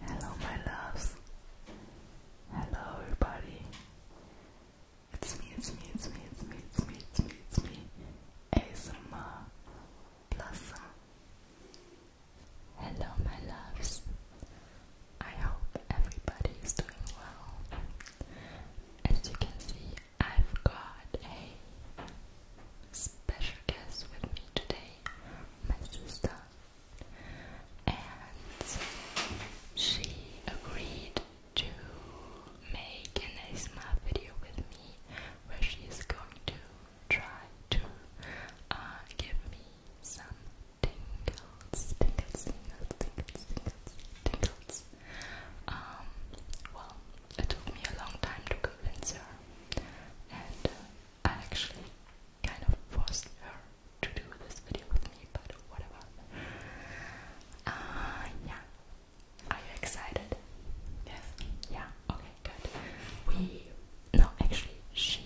Hello, my loves. Hello, everybody. It's me, it's me, it's me, it's me, it's me, it's me, it's me. ASMR Blossom. Hello, my loves. I hope everybody is doing well. As you can see, I've got a special guest with me today, my sister and she agreed to make an ASMR video with me where she is going to try to uh, give me some tingles, tingles, tingles, tingles, tingles, tingles. Um, well, it took me a long time to convince her, and uh, I actually kind of forced her to do this video with me, but whatever. Uh, yeah. Are you excited? Yes. Yeah. Okay. Good. We no, actually, she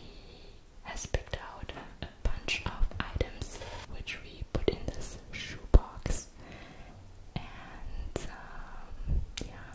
has picked out a bunch of items which we put in this shoe box, and um, yeah,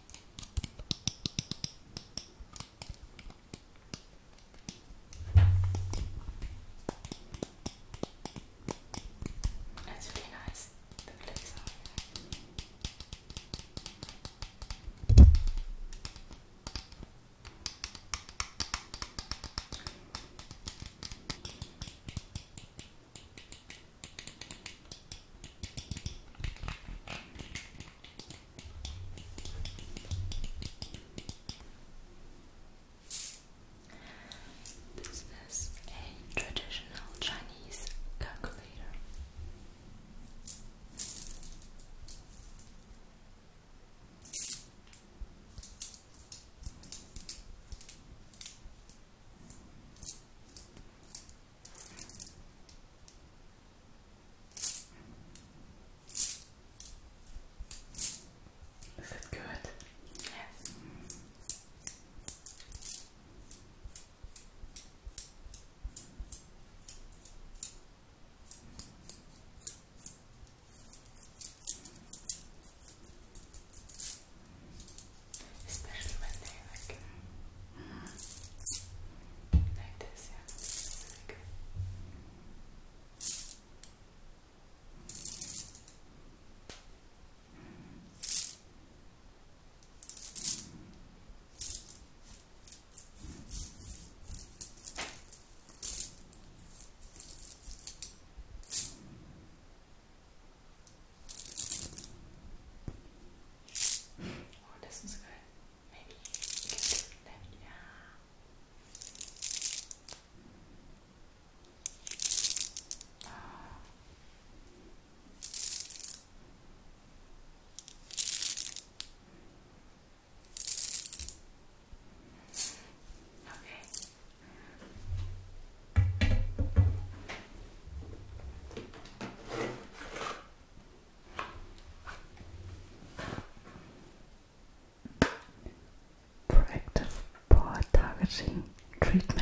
That's really nice. The clips are really nice. This is a traditional Chinese calculator. Is it good? Yes especially when they like um, like this, yeah. Oh, this is good. Maybe you can do that. Yeah. Oh. Okay. Proactive pore targeting treatment.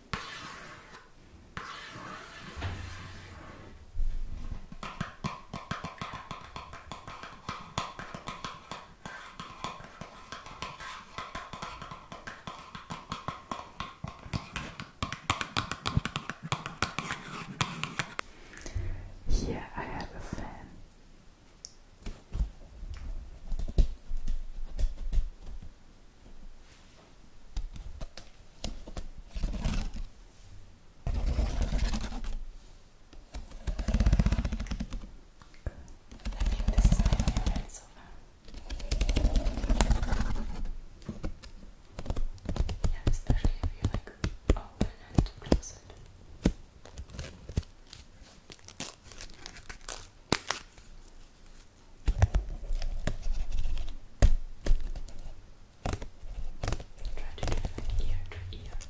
Here I have a fan. I think this is my favorite so far. Yeah, especially if you like open and close it. Try to do it like ear to ear. Okay.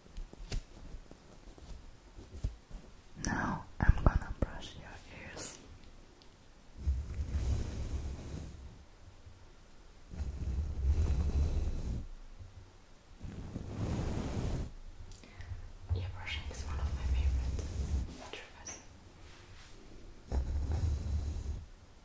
Now I'm gonna brush your ears. Ear brushing is one of my favorite triggers.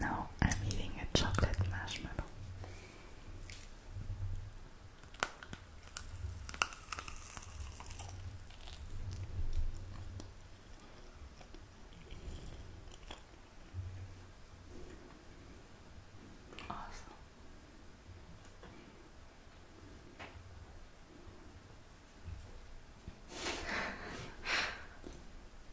Now I'm eating a chocolate marshmallow. Awesome.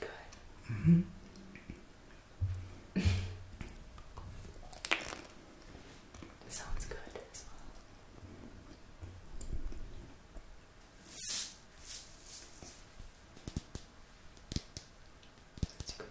Good. Mm -hmm. it sounds good That's good.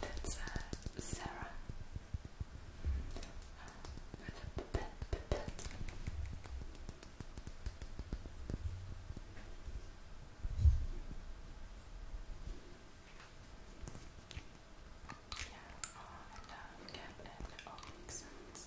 That's uh, Sarah yeah, oh, I love cat and old accents.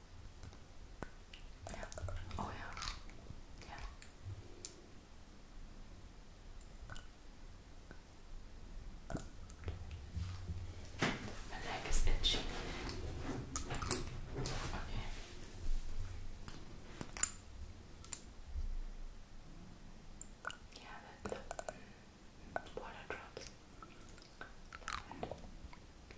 Yeah. Oh yeah. Yeah. My neck is itchy. Okay. Yeah, water drops.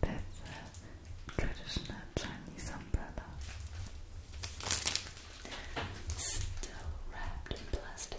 That's a traditional Chinese umbrella. Still wrapped in plastic.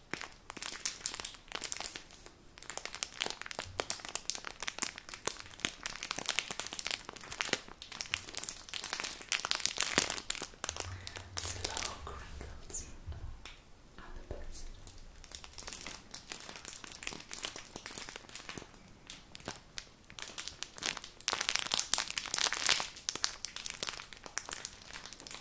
Slow crinkles on the person. Now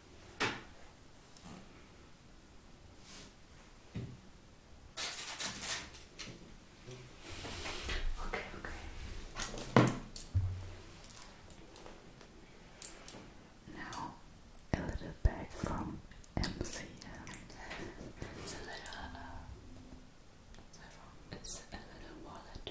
Okay, okay. Now a little bag from MCM. It's a little, uh, it's a little wallet.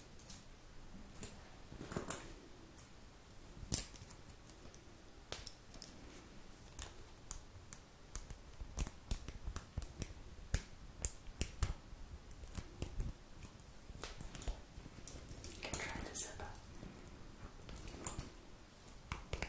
You can try to zip up. Okay.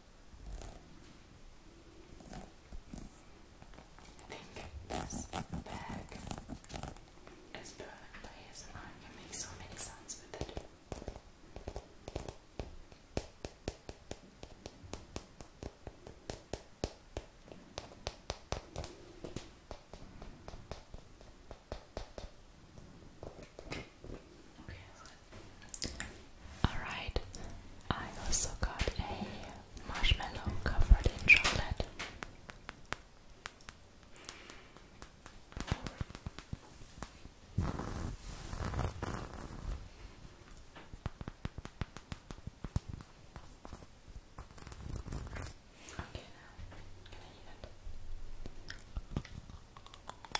think this bag is perfect for ASMR. I can make so many sounds with it. Alright, I also got a marshmallow covered in chocolate. Okay,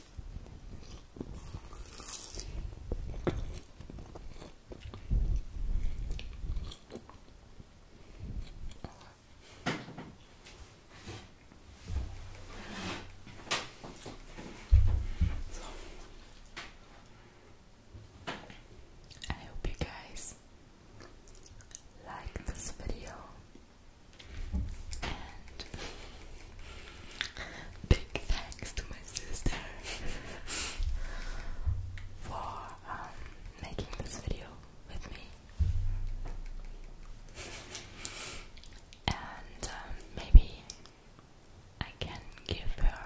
So, I hope you guys like this video and Big thanks to my sister for um, making this video with me. And um, maybe I can give her,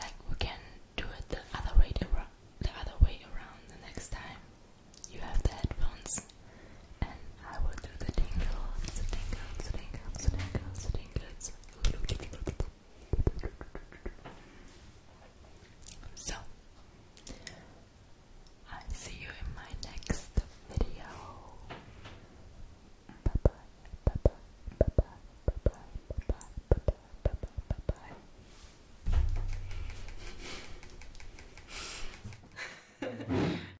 like, we can do it the other way, the other way around the next time. You have the headphones, and I will do the tingles, the tingles, the tingles, the tingles, the tingles. So, i see you in my next video. Bye bye, bye bye, bye bye, bye bye, bye bye, bye bye, bye bye, bye bye.